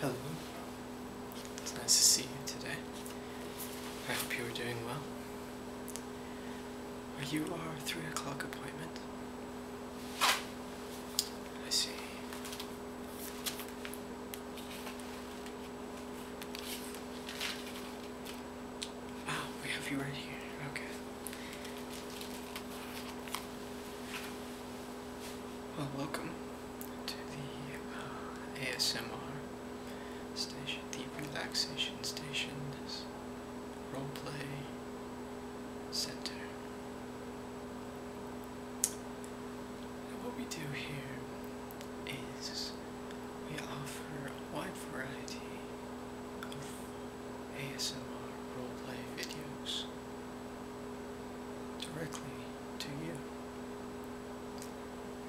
Hello. It's nice to see you today. I hope you are doing well. Are you our three o'clock appointment? I see. Ah, we have you right here. Okay. Well, welcome to the uh, ASMR station, the relaxation station, role play center. And what we do here is we offer a wide variety of ASMR roleplay videos directly to you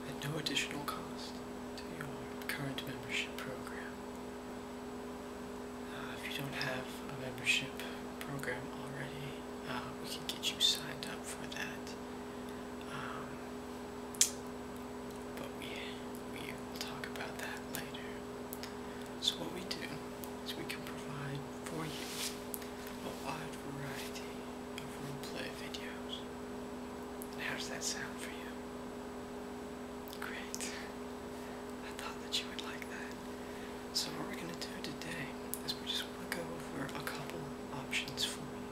at no additional cost to your current membership program. Uh, if you don't have a membership program already, uh, we can get you signed up for that. Um, but we, we will talk about that later. So what we do is we can provide for you a wide variety of roleplay videos. And how does that sound for you? Great. I thought that you would like that. So what we're going to do today is we just want to go over a couple options for you.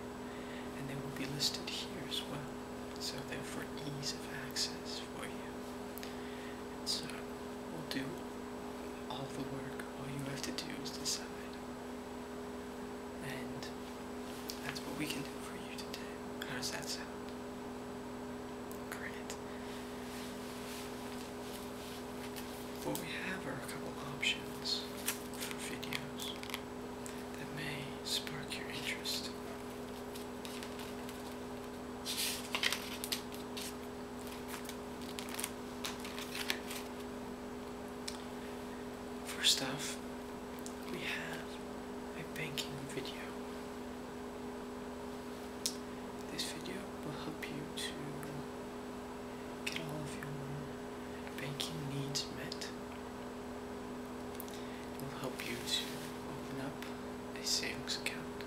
And they will be listed here as well. So therefore ease of access for you. And so we'll do all the work. All you have to do is decide. And that's what we can do for you today. How does that sound? Great. What we have are a couple options for videos that may spark your interest. First off, we have a banking video. This video will help you to get all of your banking needs met it will help you to open up a savings account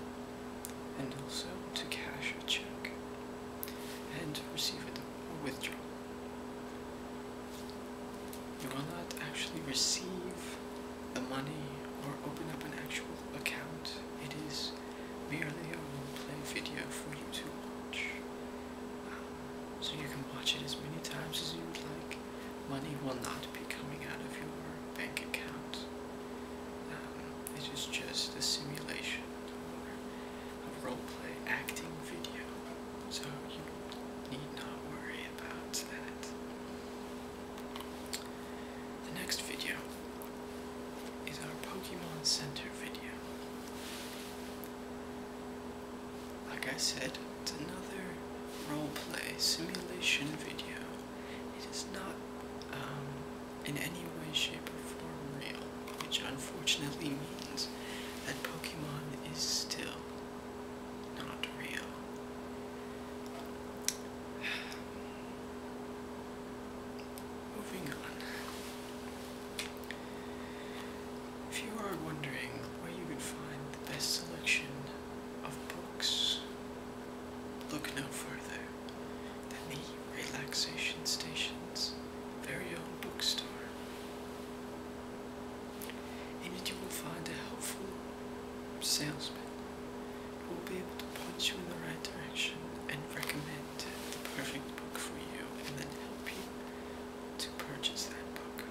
and also to cash a check and to receive a withdrawal. You will not actually receive the money or open up an actual account. It is merely a role-play video for you to watch. Um, so you can watch it as many times as you would like money will not be coming out of your bank account. Um, it is just a simulation or a role play acting video, so you need not worry about that. The next video is our Pokemon Center video. Like I said, it's another roleplay simulation video. It is not um, in any way, shape, or form real, which unfortunately means that Pokemon is still not real. Moving on. If you are wondering where you could find the best selection of books. Look no further than the relaxation station's very own bookstore. and you will find a helpful salesman who will be able to point you in the right direction and recommend the perfect book for you and then help you to purchase that book.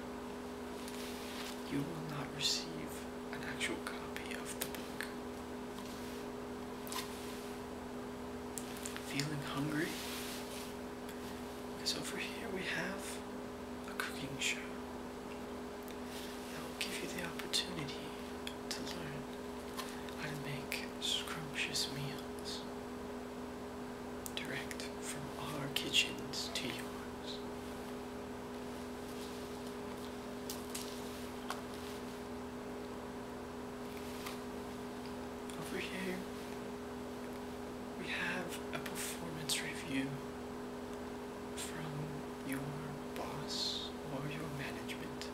You will not receive an actual copy of the book. Feeling hungry? Because over here we have a cooking show that will give you the opportunity to learn how to make scrumptious meals direct from our kitchens to yours. Over here, we have a performance review from your boss or your management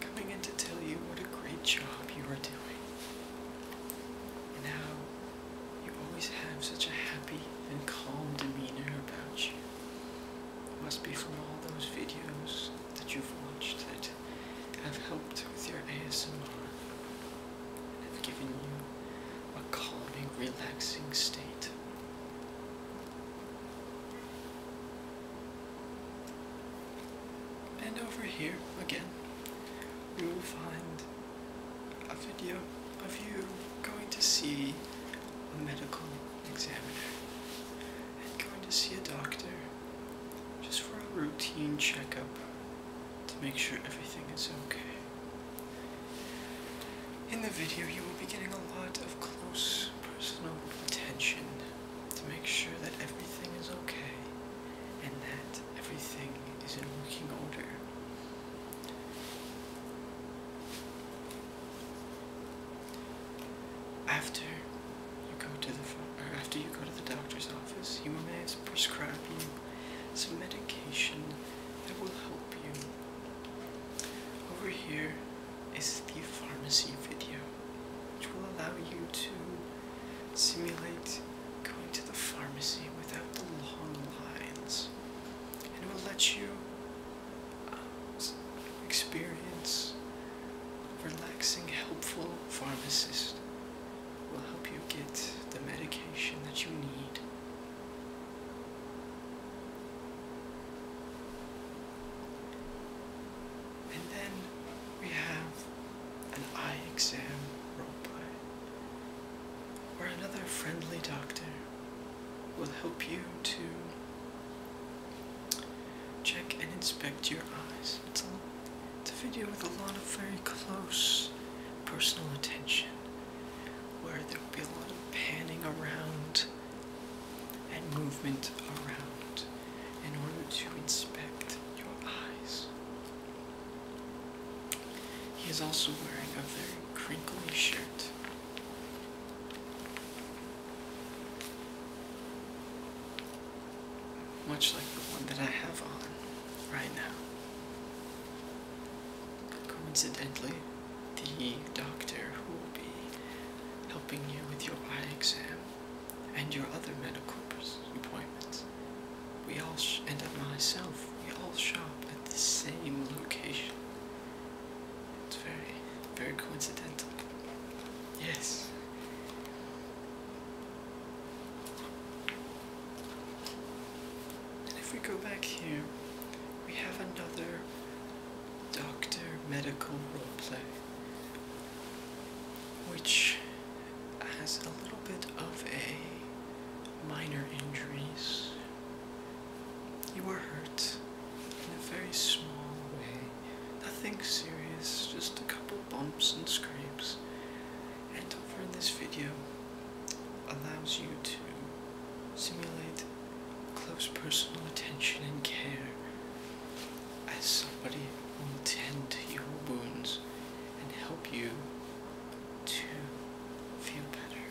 coming in to tell you what a great job you are doing and how you always have such a happy and calm demeanor about you. must be from all those videos that you've watched that have helped with your ASMR and have given you a calming, relaxing state. And over here, again, you will find a video of you going to see a medical examiner and going to see a doctor just for a routine checkup to make sure everything is okay. In the video, you will be getting a lot of close personal attention to make sure that everything is okay and that everything is in working order. After you go to the after you go to the doctor's office, you may have prescribed you some medication that will help you. Over here is the pharmacy video, which will allow you to simulate going to the pharmacy without the long lines and it will let you um, experience relaxing helpful pharmacist will help you get the medication that you need and then we have an eye exam roleplay or another friendly doctor will help you to check and inspect your eyes. It's a, video with a lot of very close personal attention where there will be a lot of panning around and movement around in order to inspect your eyes. He is also wearing a very crinkly shirt. Much like the one that I have on right now. Coincidentally, the doctor who will be helping you with your eye exam and your other medical appointments we all, sh and myself, we all shop at the same location. It's very, very coincidental. Yes. And if we go back here, we have another doctor medical role play, which has a little bit of a minor injuries. You were hurt in a very small way. Nothing serious, just a couple bumps and scrapes. And over in this video allows you to simulate close personal attention and care as somebody will tend to your wounds and help you to feel better.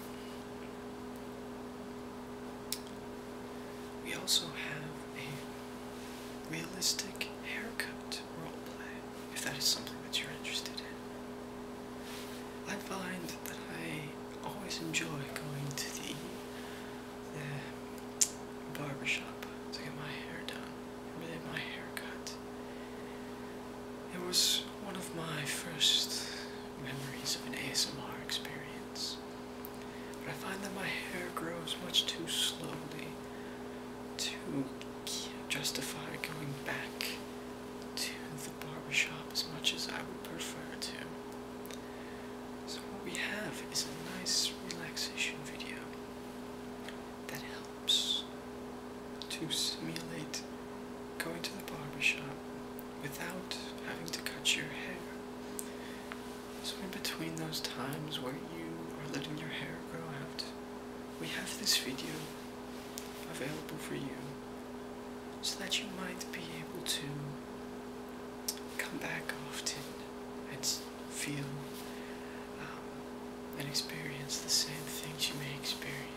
We also have a realistic haircut role play. if that is something that you're interested in. I find that I always enjoy going to the, the barbershop to get my hair done, really my haircut it was one of my first memories of an ASMR experience. But I find that my hair grows much too slowly to justify going back to the barber shop as much as I would prefer to. So, what we have is a nice relaxation video that helps to simulate going to the barbershop without having to cut your hair. So in between those times where you are letting your hair grow out, we have this video available for you so that you might be able to come back often and feel um, and experience the same things you may experience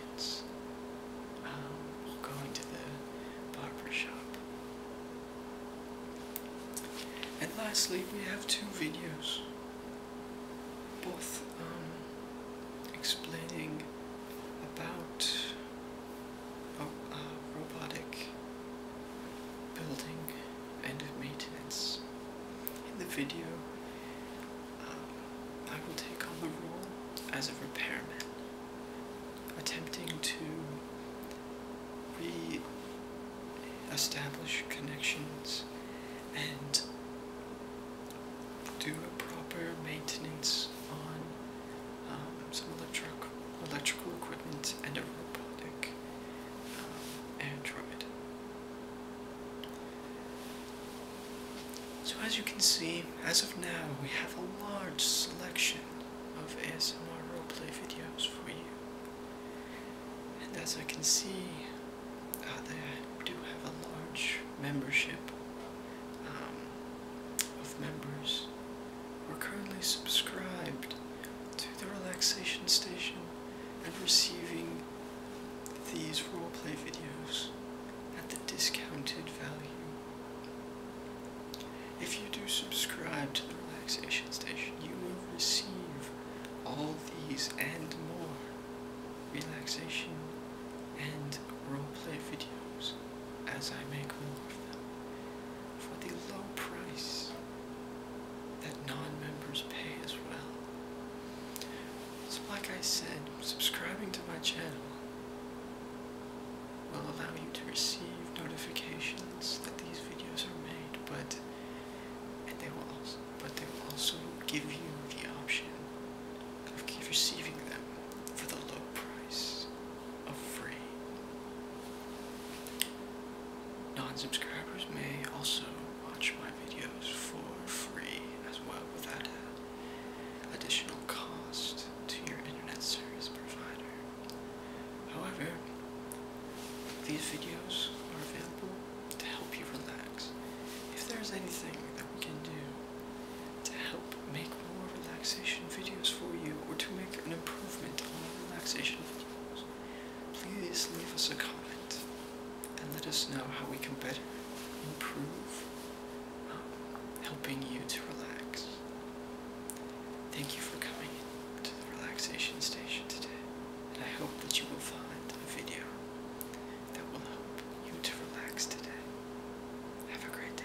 um, going to the barber shop. And lastly, we have two videos, both um, explaining about oh, uh, robotic building and maintenance. In the video, I will take on the role as a repairman, attempting to re establish connections and do a proper maintenance on um, some electric, electrical equipment and a robotic um, android. So as you can see, as of now, we have a large selection of ASMR roleplay videos for you. And as I can see, uh, do have a large membership um, of members. We're currently subscribed to the relaxation station and receiving these roleplay videos at the discounted value. If you do subscribe to the relaxation station, you will receive all these and more relaxation and roleplay videos as I make more of them for the low price that non members pay as well. So like I said, subscribing to my channel will allow you to receive notifications that these videos are made, but and they will also but they will also give you the option of receiving them for the low price of free. Non-subscribers may also watch my videos for free as well without a additional cost to your internet service provider. However, these videos are available to help you relax. If there's anything that we can do to help make more relaxation videos for you or to make an improvement on relaxation videos, please leave us a comment and let us know how we can better improve helping you to relax. Thank you for coming to the relaxation station today, and I hope that you will find a video that will help you to relax today. Have a great day.